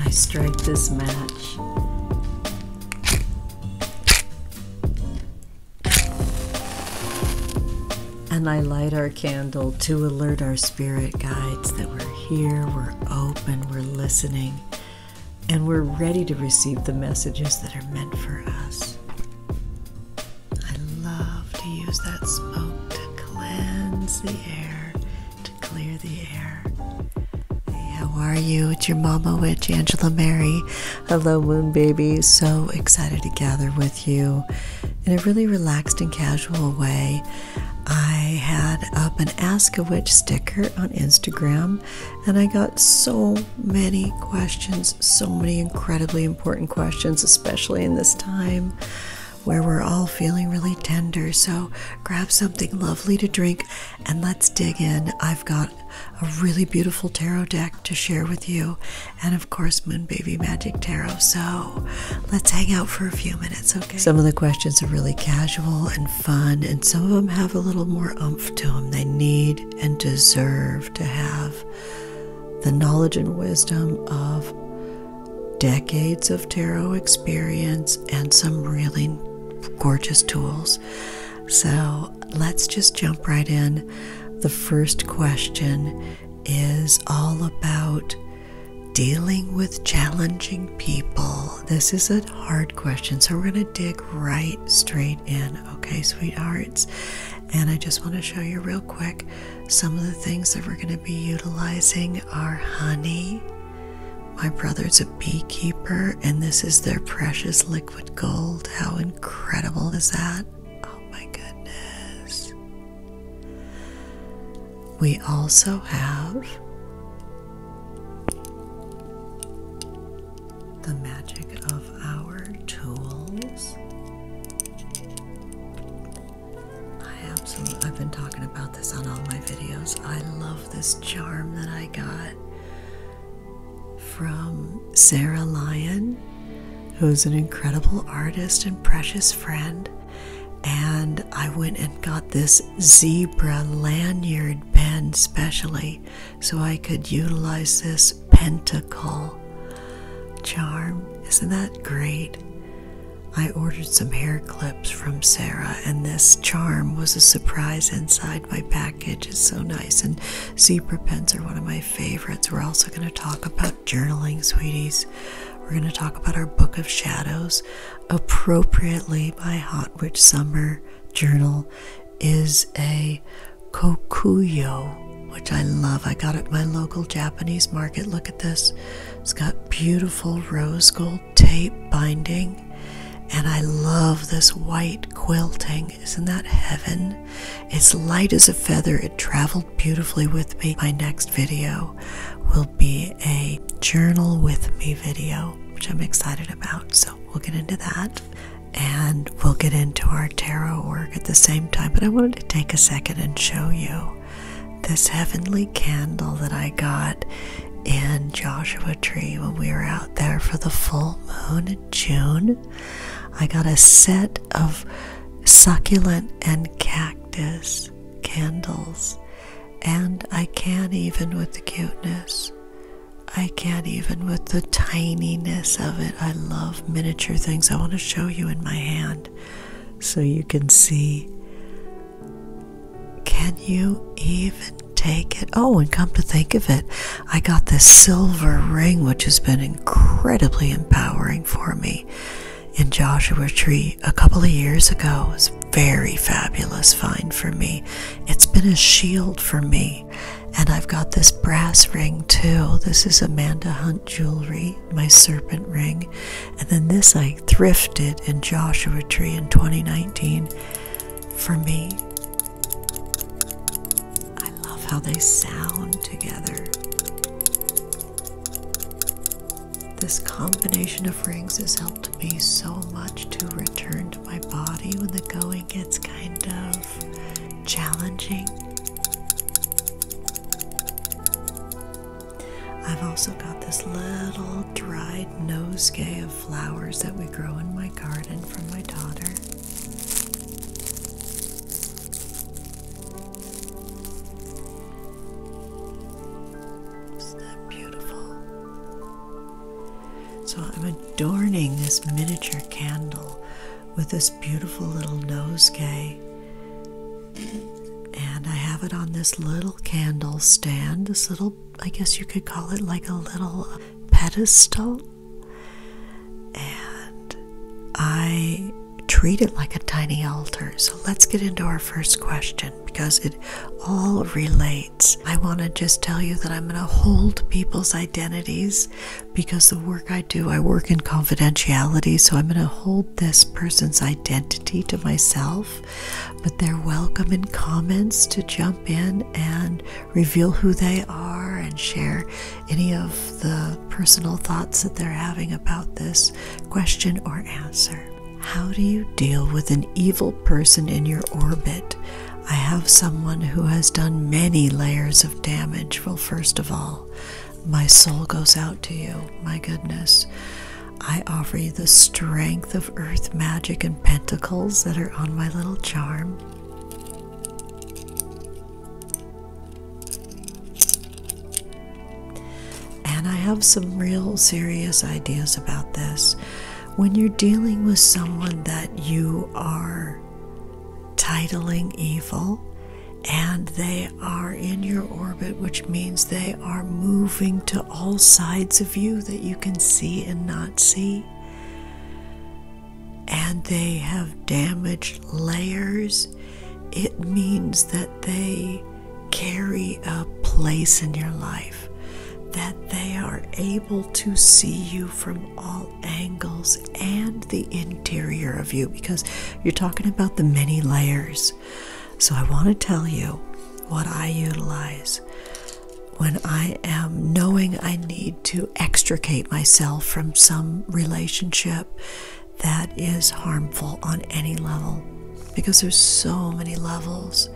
I strike this match and I light our candle to alert our spirit guides that we're here, we're open, we're listening, and we're ready to receive the messages that are meant for us. I love to use that smoke to cleanse the air, to clear the air. Hey, how are you? It's your mama witch, Angela Mary. Hello, Moon Baby. So excited to gather with you in a really relaxed and casual way. I had up an Ask a Witch sticker on Instagram, and I got so many questions, so many incredibly important questions, especially in this time where we're all feeling really tender. So grab something lovely to drink and let's dig in. I've got a really beautiful tarot deck to share with you, and of course, Moon Baby Magic Tarot. So let's hang out for a few minutes, okay? Some of the questions are really casual and fun, and some of them have a little more umph to them. They need and deserve to have the knowledge and wisdom of decades of tarot experience and some really gorgeous tools so let's just jump right in. The first question is all about dealing with challenging people. This is a hard question, so we're going to dig right straight in, okay, sweethearts? And I just want to show you real quick some of the things that we're going to be utilizing are honey, my brother's a beekeeper, and this is their precious liquid gold. How incredible is that? Oh my goodness. We also have the magic of our tools. I absolutely, I've been talking about this on all my videos. I love this charm that I got from Sarah Lyon, who's an incredible artist and precious friend. And I went and got this zebra lanyard pen specially so I could utilize this pentacle charm. Isn't that great? I ordered some hair clips from Sarah, and this charm was a surprise inside my package. It's so nice. And zebra pens are one of my favorites. We're also going to talk about journaling, sweeties. We're going to talk about our book of shadows, appropriately by Hot Witch Summer journal is a kokuyo, which I love. I got it at my local Japanese market. Look at this. It's got beautiful rose gold tape binding. And I love this white quilting. Isn't that heaven? It's light as a feather. It traveled beautifully with me. My next video will be a journal with me video, which I'm excited about. So we'll get into that and we'll get into our tarot work at the same time. But I wanted to take a second and show you this heavenly candle that I got and Joshua Tree when we were out there for the full moon in June. I got a set of succulent and cactus candles, and I can't even with the cuteness. I can't even with the tininess of it. I love miniature things. I want to show you in my hand so you can see can you even take it? Oh, and come to think of it, I got this silver ring, which has been incredibly empowering for me in Joshua Tree a couple of years ago. It was very fabulous find for me. It's been a shield for me. And I've got this brass ring too. This is Amanda Hunt jewelry, my serpent ring. And then this I thrifted in Joshua Tree in 2019 for me, I love how they sound together. This combination of rings has helped me so much to return to my body when the going gets kind of challenging. I've also got this little dried nosegay of flowers that we grow in my garden from my daughter. Isn't that beautiful? So I'm adorning this miniature candle with this beautiful little nosegay. And I have it on this little candle stand, this little I guess you could call it like a little uh, pedestal. And I treat it like a tiny altar. So let's get into our first question because it all relates. I want to just tell you that I'm going to hold people's identities because the work I do, I work in confidentiality. So I'm going to hold this person's identity to myself but they're welcome in comments to jump in and reveal who they are and share any of the personal thoughts that they're having about this question or answer. How do you deal with an evil person in your orbit? I have someone who has done many layers of damage. Well, first of all, my soul goes out to you. My goodness. I offer you the strength of earth magic and pentacles that are on my little charm. And I have some real serious ideas about this. When you're dealing with someone that you are titling evil, and they are in your orbit, which means they are moving to all sides of you that you can see and not see. And they have damaged layers. It means that they carry a place in your life, that they are able to see you from all angles and the interior of you, because you're talking about the many layers. So, I want to tell you what I utilize when I am knowing I need to extricate myself from some relationship that is harmful on any level. Because there's so many levels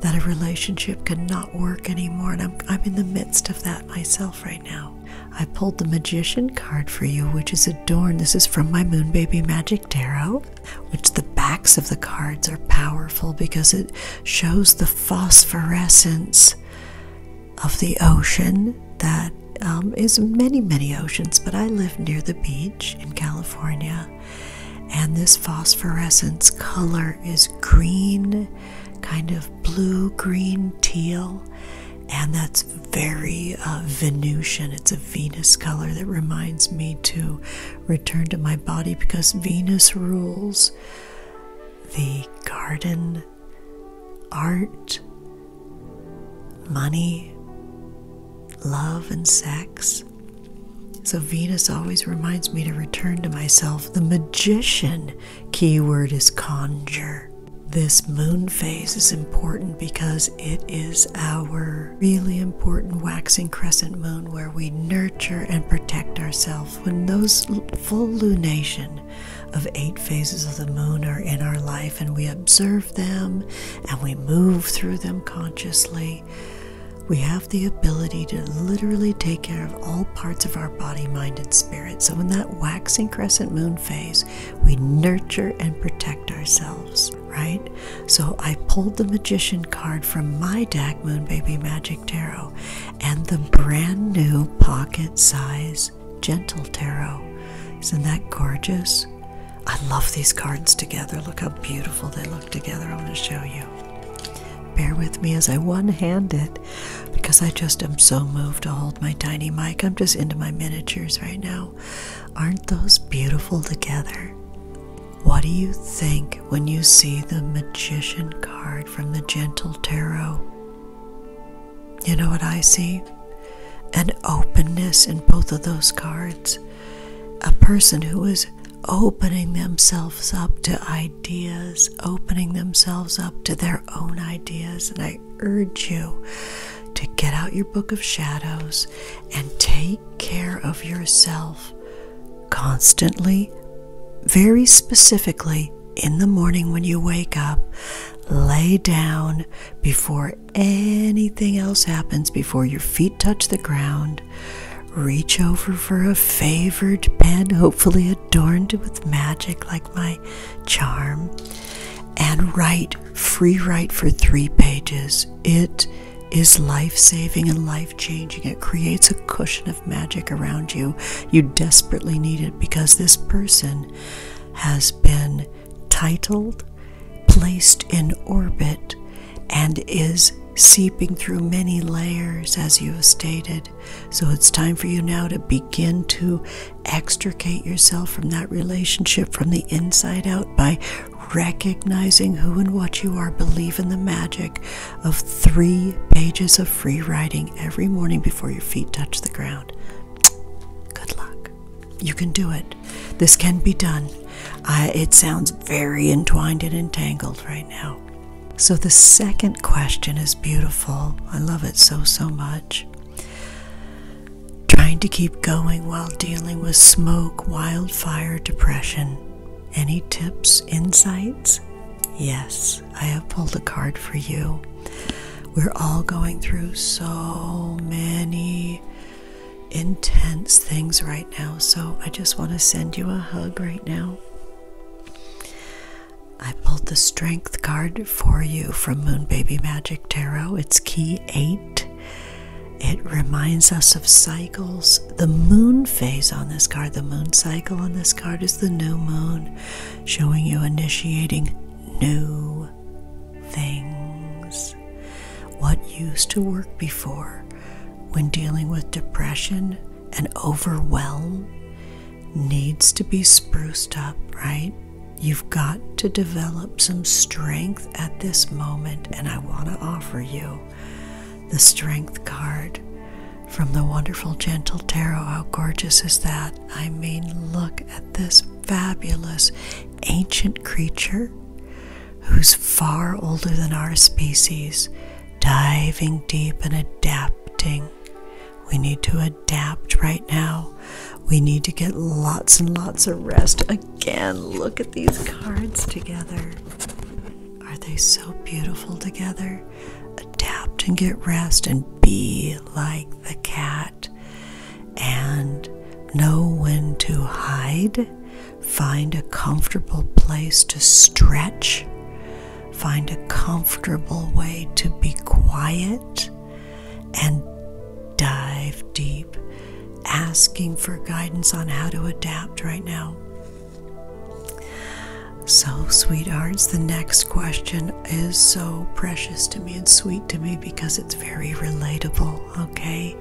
that a relationship cannot work anymore, and I'm, I'm in the midst of that myself right now. I pulled the Magician card for you, which is adorned. This is from my Moon Baby Magic Tarot which the backs of the cards are powerful because it shows the phosphorescence of the ocean That um, is many, many oceans, but I live near the beach in California, and this phosphorescence color is green, kind of blue, green, teal, and that's very uh, Venusian. It's a Venus color that reminds me too return to my body because Venus rules the garden, art, money, love, and sex. So Venus always reminds me to return to myself. The magician keyword is conjure. This moon phase is important because it is our really important waxing crescent moon where we nurture and protect ourselves when those full lunation of eight phases of the moon are in our life and we observe them and we move through them consciously we have the ability to literally take care of all parts of our body, mind, and spirit. So, in that waxing crescent moon phase, we nurture and protect ourselves right? So I pulled the Magician card from my deck, Baby Magic Tarot, and the brand new pocket size Gentle Tarot. Isn't that gorgeous? I love these cards together. Look how beautiful they look together. I'm going to show you. Bear with me as I one hand it because I just am so moved to hold my tiny mic. I'm just into my miniatures right now. Aren't those beautiful together? What do you think when you see the Magician card from the Gentle Tarot? You know what I see? An openness in both of those cards. A person who is opening themselves up to ideas, opening themselves up to their own ideas. And I urge you to get out your book of shadows and take care of yourself constantly, very specifically in the morning when you wake up. Lay down before anything else happens, before your feet touch the ground. Reach over for a favored pen, hopefully adorned with magic like my charm, and write, free write for three pages. It is life saving and life changing. It creates a cushion of magic around you. You desperately need it because this person has been titled, placed in orbit, and is seeping through many layers, as you have stated. So it's time for you now to begin to extricate yourself from that relationship from the inside out by recognizing who and what you are, believe in the magic of three pages of free writing every morning before your feet touch the ground. Good luck. You can do it. This can be done. it sounds very entwined and entangled right now. So, the second question is beautiful. I love it so, so much. Trying to keep going while dealing with smoke, wild Fire depression. Any tips, insights? Yes, I have pulled a card for you. We're all going through so many intense things right now, so I just want to send you a hug right now. I pulled the strength card for you from Moon Baby Magic Tarot. It's key 8. It reminds us of cycles. The moon phase on this card, the moon cycle on this card is the new moon, showing you initiating new things. What used to work before when dealing with depression and overwhelm needs to be spruced up, right? You've got to develop some strength at this moment, and I want to offer you the Strength card from the wonderful Gentle Tarot. How gorgeous is that? I mean, look at this fabulous ancient creature who's far older than our species, diving deep and adapting. We need to adapt right now. We need to get lots and lots of rest. Again, look at these cards together. Are they so beautiful together? Adapt and get rest and be like the cat. And know when to hide. Find a comfortable place to stretch. Find a comfortable way to be quiet and dive deep asking for guidance on how to adapt right now. So, sweethearts, the next question is so precious to me and sweet to me because it's very relatable, okay?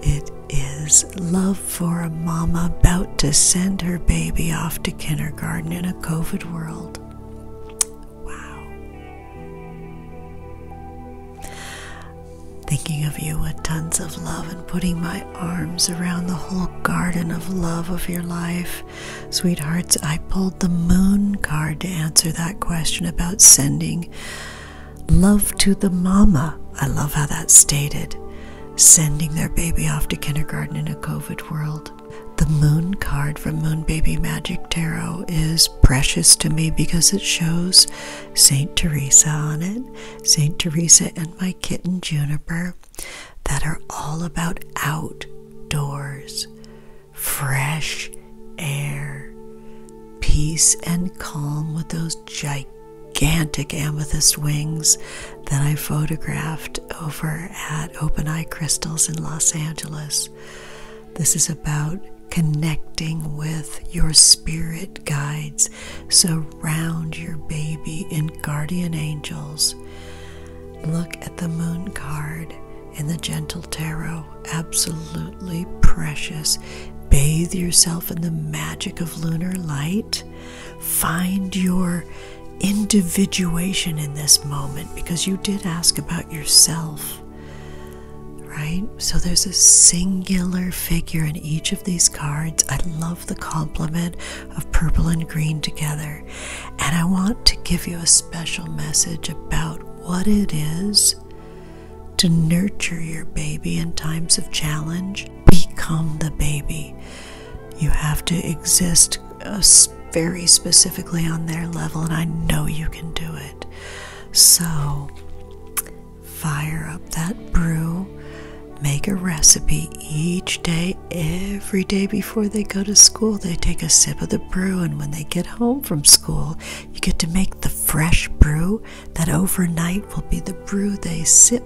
It is love for a mama about to send her baby off to kindergarten in a COVID world. Wow. Thinking of you with tons of love and putting my arms around the whole garden of love of your life. Sweethearts, I pulled the moon card to answer that question about sending love to the mama. I love how that stated. Sending their baby off to kindergarten in a COVID world. The moon card from Moon Baby Magic Tarot is precious to me because it shows St. Teresa on it, St. Teresa and my kitten Juniper, that are all about outdoors, fresh air, peace and calm with those gigantic amethyst wings that I photographed over at Open Eye Crystals in Los Angeles. This is about connecting with your spirit guides. Surround your baby in guardian angels. Look at the moon card in the Gentle Tarot. Absolutely precious. Bathe yourself in the magic of lunar light. Find your individuation in this moment because you did ask about yourself right? So there's a singular figure in each of these cards. I love the complement of purple and green together. And I want to give you a special message about what it is to nurture your baby in times of challenge. Become the baby. You have to exist uh, very specifically on their level, and I know you can do it. So, Fire up that brew. Make a recipe each day, every day before they go to school. They take a sip of the brew, and when they get home from school, you get to make the fresh brew that overnight will be the brew they sip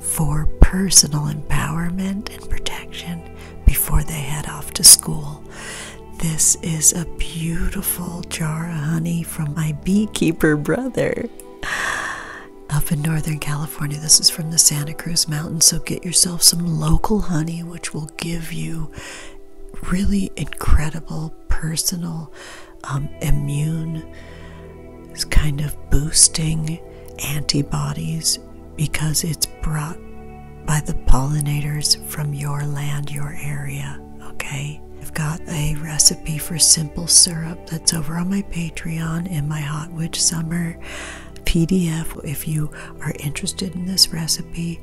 for personal empowerment and protection before they head off to school. This is a beautiful jar of honey from my beekeeper brother up in Northern California. This is from the Santa Cruz Mountains, so get yourself some local honey, which will give you really incredible personal, um, immune, kind of boosting antibodies because it's brought by the pollinators from your land, your area. Okay, I've got a recipe for simple syrup that's over on my Patreon in my Hot Witch Summer PDF. If you are interested in this recipe,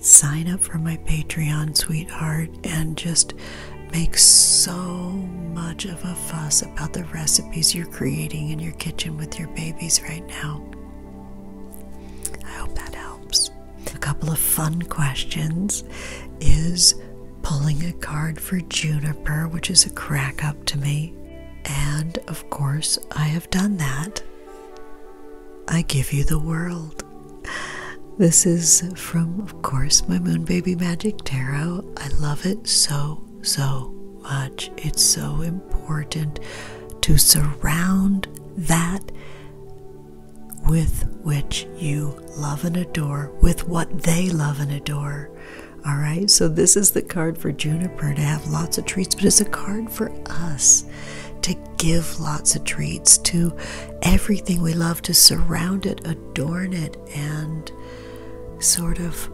sign up for my Patreon, sweetheart, and just make so much of a fuss about the recipes you're creating in your kitchen with your babies right now. I hope that helps. A couple of fun questions is pulling a card for Juniper, which is a crack up to me. And of course, I have done that. I give you the world. This is from, of course, my Moon Baby Magic Tarot. I love it so, so much. It's so important to surround that with which you love and adore, with what they love and adore. All right, so this is the card for Juniper to have lots of treats, but it's a card for us to give lots of treats to everything we love, to surround it, adorn it, and sort of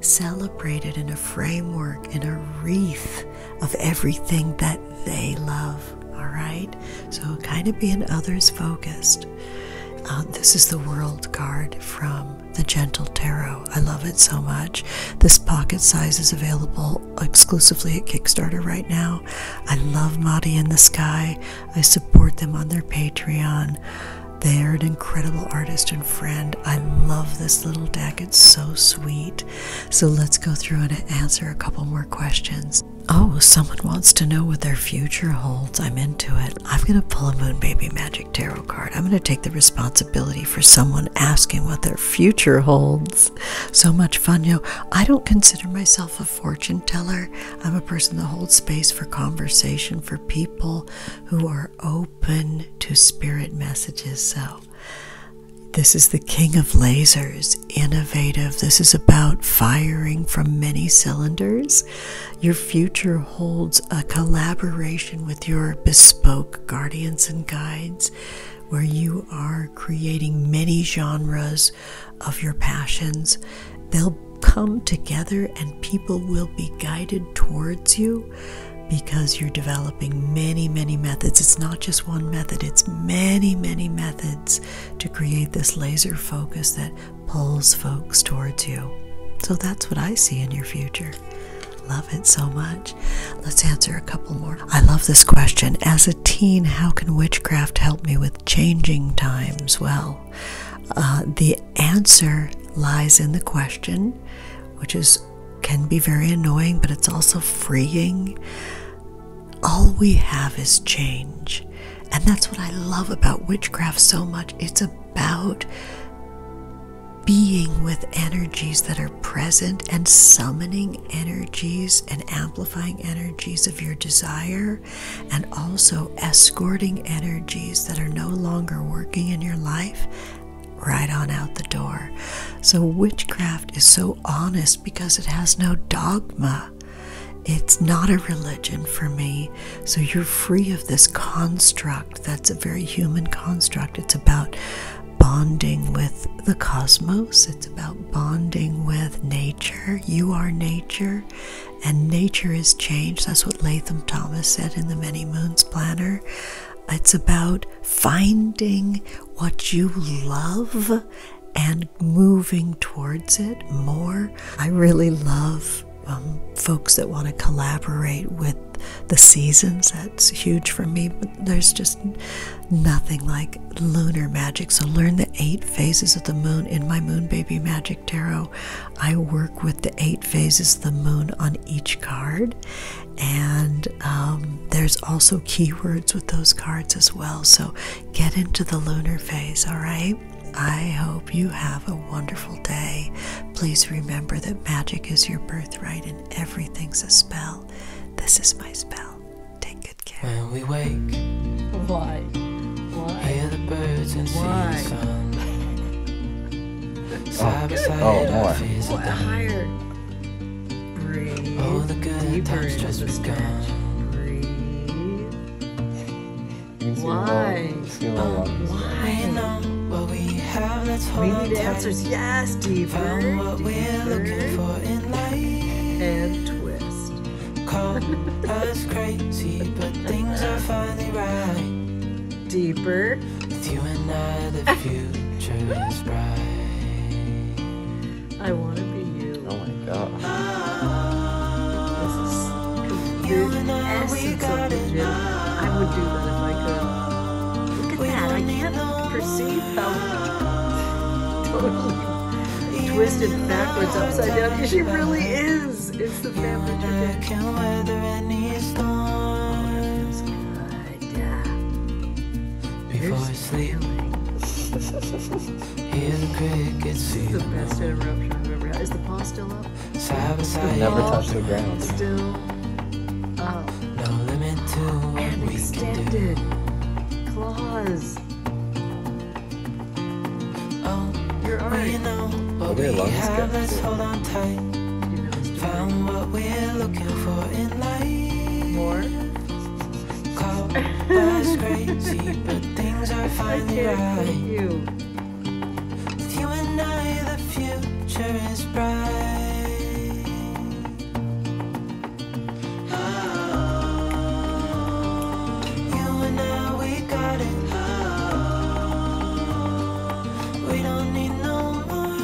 celebrate it in a framework, in a wreath, of everything that they love. All right? So, kind of being others focused. Um, this is the World card from the Gentle Tarot. I love it so much. This pocket size is available exclusively at Kickstarter right now. I love Madi and the Sky. I support them on their Patreon. They're an incredible artist and friend. I love this little deck. It's so sweet. So let's go through and answer a couple more questions. Oh, someone wants to know what their future holds. I'm into it. I'm going to pull a Moon Baby Magic Tarot card. I'm going to take the responsibility for someone asking what their future holds. So much fun. yo! I don't consider myself a fortune teller. I'm a person that holds space for conversation for people who are open to spirit messages. So this is the king of lasers, innovative. This is about firing from many cylinders. Your future holds a collaboration with your bespoke guardians and guides where you are creating many genres of your passions. They'll come together and people will be guided towards you because you're developing many, many methods. It's not just one method, it's many, many methods to create this laser focus that pulls folks towards you. So that's what I see in your future. Love it so much. Let's answer a couple more. I love this question. As a teen, how can witchcraft help me with changing times? Well, uh, the answer lies in the question, which is can be very annoying, but it's also freeing. All we have is change. And that's what I love about witchcraft so much. It's about being with energies that are present and summoning energies and amplifying energies of your desire, and also escorting energies that are no longer working in your life right on out the door. So, witchcraft is so honest because it has no dogma. It's not a religion for me. So, you're free of this construct that's a very human construct. It's about bonding with the cosmos, it's about bonding with nature. You are nature, and nature is change. That's what Latham Thomas said in the Many Moons Planner. It's about finding what you love and moving towards it more. I really love um, folks that want to collaborate with the seasons. That's huge for me. there's just nothing like lunar magic. So learn the eight phases of the moon in my Moon Baby Magic Tarot. I work with the eight phases of the moon on each card, and um, there's also keywords with those cards as well. So get into the lunar phase, all right? I hope you have a wonderful day. Please remember that magic is your birthright and everything's a spell. This is my spell. Take good care. When we wake, why? Why? Hear the birds and why? oh, by oh, our all the good Deeper times just the stretch. Breathe. Why? Um, Why we need answers. Yes, deeper. deeper. are And twist. Call us crazy, but things are finally right. Deeper. With you and I, the future is bright. I want to be you. Oh my god. This is you and I, I would do that if I could. Look at that. I can't perceive how totally twisted backwards, upside down. She really is. It's the family tradition. Before I sleep, hear the crickets. This is the best interruption I've ever had. Is the paw still up? Side never touch the ground. and we extended can claws. Oh, you're already know, we have. Let's hold we're More. Call us crazy, but things are finally right. With you and I, the future is bright. Ah, ah, we don't need no more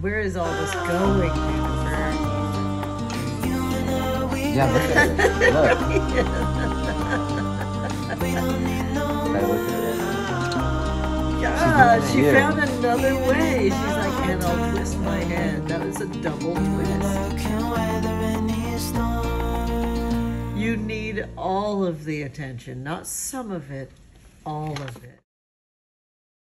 where is all this going, Jennifer? Yeah, look at it. Look. I look at it. Yeah, she found another way. She's like, and I'll twist my head. That was a double twist. You need all of the attention, not some of it, all of it.